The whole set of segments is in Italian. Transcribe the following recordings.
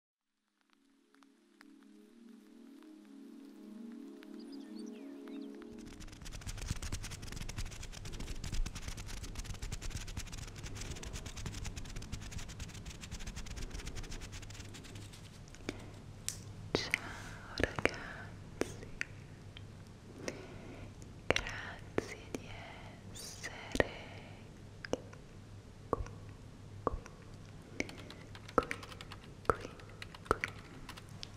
Ciao ragazzi, grazie di essere qui, qui, qui, qui,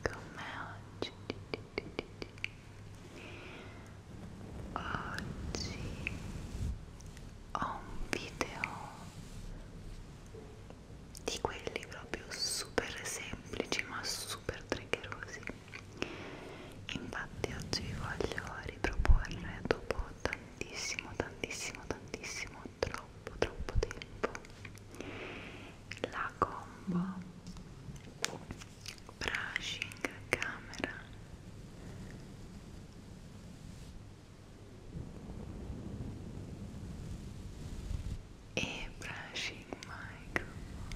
con me oggi. Oggi ho un video di quelli proprio super semplici ma super triggerosi infatti oggi vi voglio riproporre dopo tanto tantissimo, tantissimo, tantissimo, troppo, troppo tempo la combo brushing camera e brushing microphone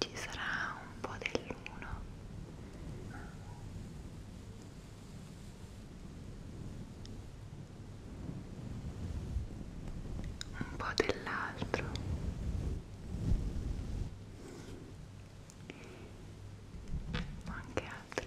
ci sarà un po' dell'uno un po' dell'altro anche altri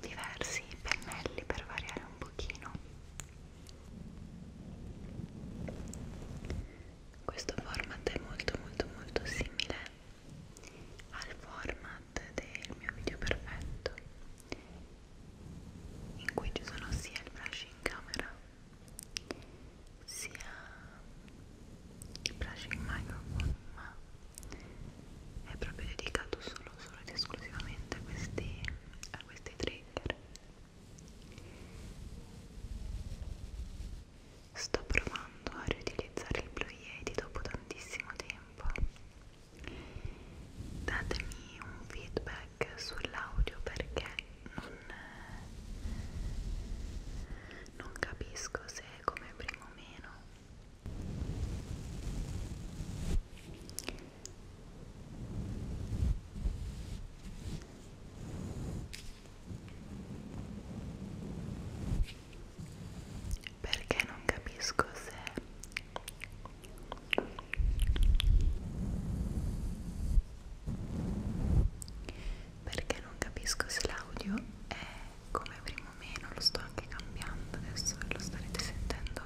diversi pennelli per variare un pochino questo format è molto molto molto simile al format del mio video perfetto in cui ci sono sia il brush in camera sia il brush in microphone ma è proprio dedicato solo solo, solo ed esclusivamente a questi, a questi trigger sto provando a riutilizzare il Blue Yeti dopo tantissimo tempo datemi un feedback sull'audio perché non, non capisco se è come prima o meno perché non capisco se perché non capisco se l'audio è come primo meno lo sto anche cambiando adesso lo starete sentendo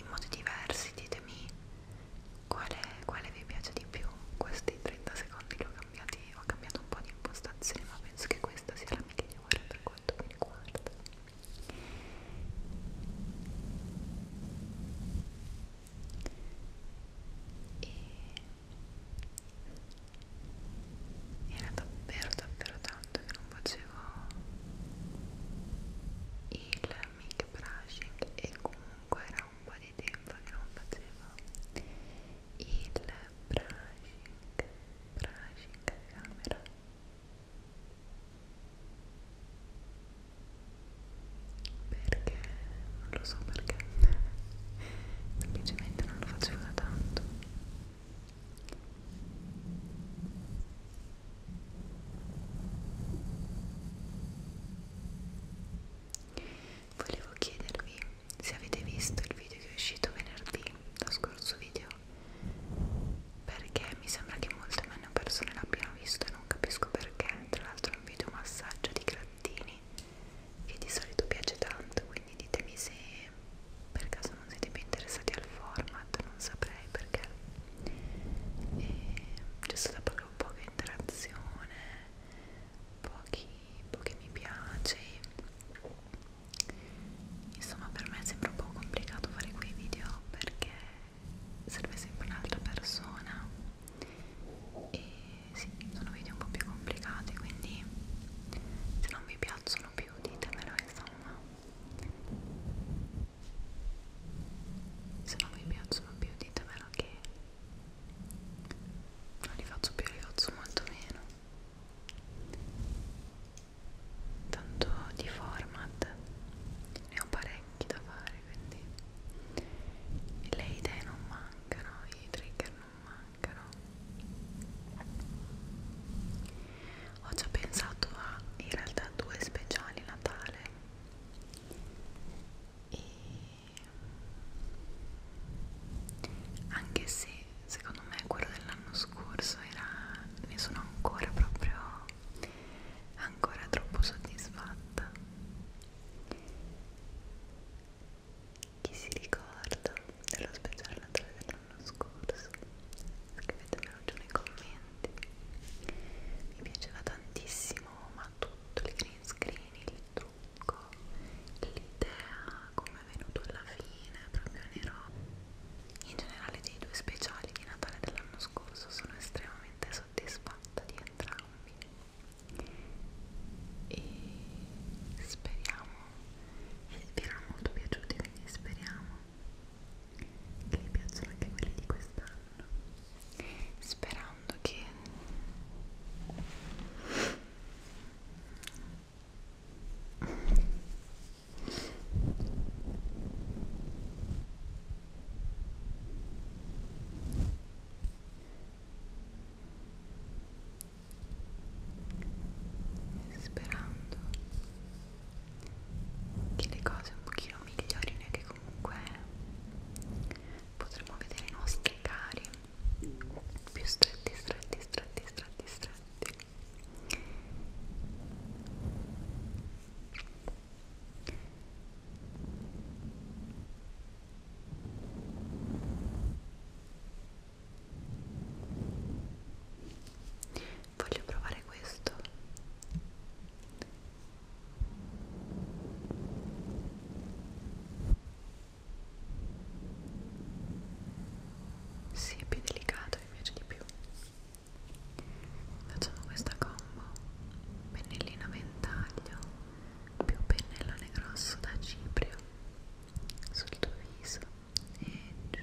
in modi diversi ditemi quale, quale vi piace di più questi 30 secondi li ho cambiati ho cambiato un po' di impostazione ma penso che questa sia la migliore per quanto mi riguarda e era davvero davvero tanto che non facevo il mic brushing e comunque era un po' di tempo che non facevo il brushing brushing camera perché non lo so perché semplicemente non lo facevo da tanto Volevo chiedervi se avete visto il video che è uscito venerdì, lo scorso video, perché mi sembra che molte meno persone l'abbiano visto e non capisco perché. Tra l'altro è un video massaggio di grattini che di solito piace tanto, quindi ditemi se per caso non siete più interessati al format, non saprei direi perché ehm, c'è stata proprio poca interazione, pochi, pochi mi piace. Insomma, per me sembra un po' complicato fare quei video perché serve sempre un'altra persona e sì, sono video un po' più complicati quindi se non vi piacciono più ditemelo insomma se non vi piacciono più ditemelo che non li faccio più, li faccio molto meno tanto di format ne ho parecchi da fare quindi le idee non mancano, i trigger non mancano ho già pensato a in realtà due speciali Natale e anche se secondo me quello dell'anno scorso era ne sono ancora proprio ancora troppo soddisfatta chi si ricorda dello speciale natale dell'anno scorso scrivetemelo giù nei commenti niente mi piaceva tantissimo ma tutto il green screen il trucco l'idea come è venuto alla fine proprio nero in generale dei due speciali di Natale dell'anno scorso sono estremamente soddisfatta di entrambi e speriamo vi erano molto piaciuti quindi speriamo che vi piacciono anche quelli di quest'anno sperando che sperando che le cose un pochino migliorino e che comunque potremo vedere i nostri cari più stretti, stretti, stretti, stretti, stretti Voglio provare questo sì, è più delicato, mi piace di più. Facciamo questa combo. Pennellina ventaglio più pennellone grosso da ciprio sul tuo viso e giù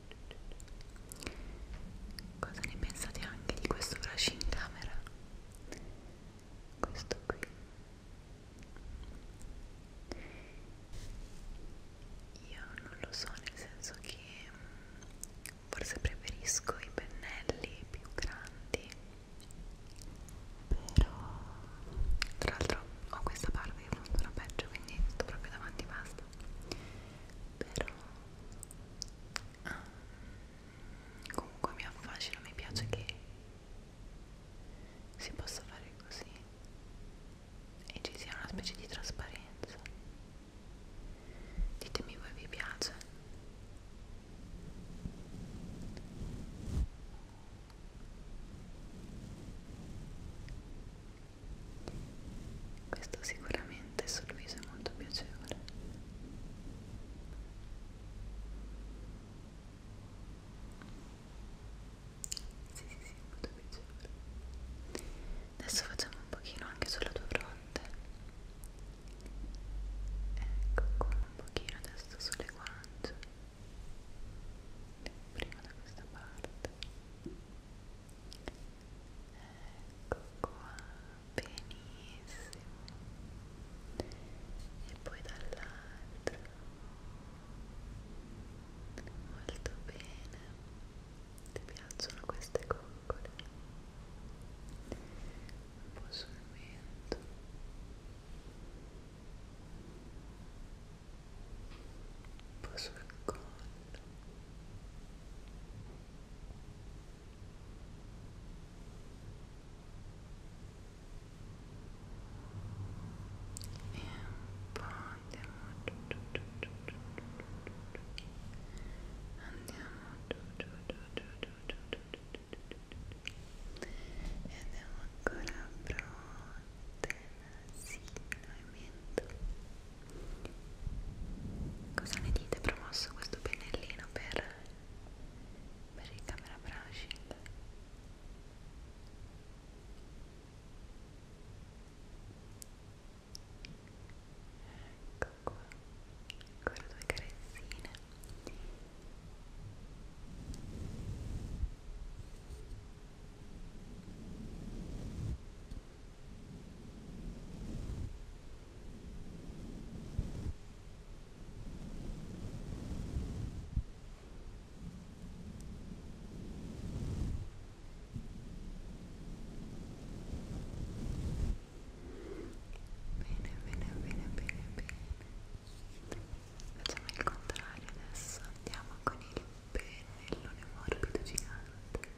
Cosa ne pensate anche di questo brush in camera? Questo qui io non lo so, nel senso che mm, forse preferisco i pennelli più grandi, però tra l'altro ho questa parte che funziona peggio, quindi sto proprio davanti basta. Però comunque mi affascina mi piace che si possa fare così e ci sia una specie di trasparenza ditemi voi vi piace questo sicuramente sul viso è molto piacevole sì sì sì, molto piacevole adesso facciamo un pochino anche sulla tua fronte ecco qua un pochino adesso sulle guance prima da questa parte ecco qua benissimo e poi dall'altro molto bene ti piacciono queste coccole un po' sul mento un po' sul collo e un po' andiamo andiamo e andiamo ancora a fronte, nasino e mento e Cosa ne dite? Promosso questo pennellino per, per il camera brushing? Ecco qua, ancora due carezzine Bene, bene, bene, bene, bene. Facciamo il contrario adesso. Andiamo con il pennellone morbido gigante.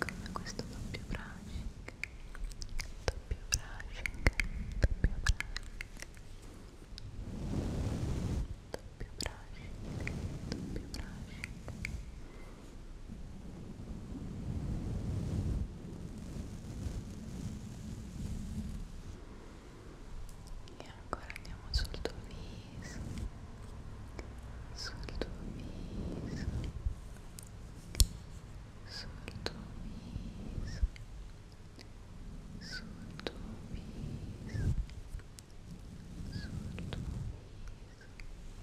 Come questo doppio brushing, doppio brushing, doppio brushing, doppio brushing, doppio brushing e ancora andiamo sul tuo viso sul tuo viso sul tuo viso sul tuo viso sul tuo viso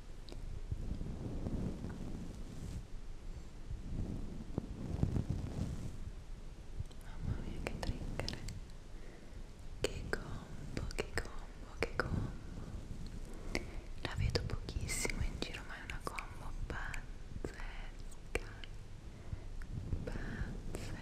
Mamma mia che trigger Che combo, che combo, che combo La vedo pochissimo in giro ma è una combo pazzesca Pazzesca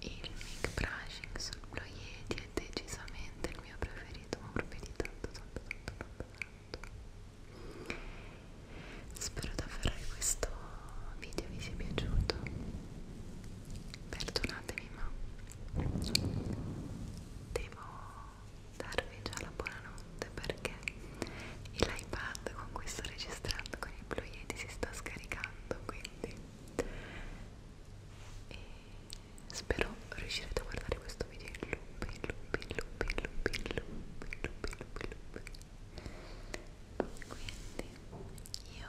Il mic brushing sul ploieti è decisamente il mio preferito, ma proprio tanto tanto tanto tanto tanto. Spero davvero che questo video vi sia piaciuto. Perdonatemi prima devo darvi già la buonanotte perché l'iPad con cui sto registrando con i Blue Yeti si sta scaricando quindi e spero riuscirete a guardare questo video in loop, in loop, in loop, in loop, in loop, in loop, in loop, in loop. quindi io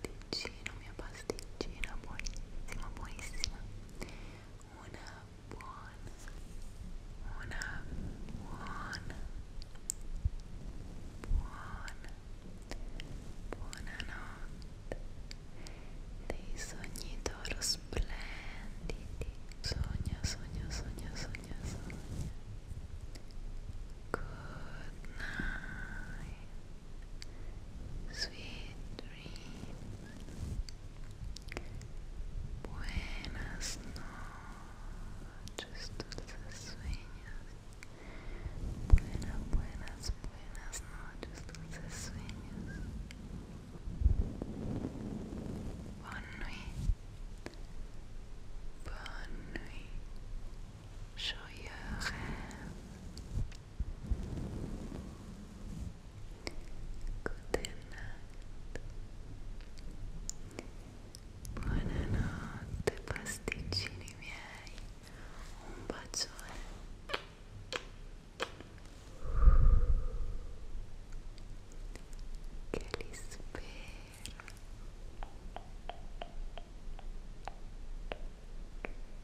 pasticcino, mia pasticcina buonissima, buonissima una buona una buona buona buonanotte dei sogni d'oro splendidi sogna, sogna, sogna, sogna, sogna good night sweet dream. Buenas noches, dulces sueños. Buenas, buenas, buenas noches, dulces sueños. Bonne nuit. Bonne nuit. Joyeux rêve. Good night. Buonanotte pasticcini miei. Un bacione. Che li spero.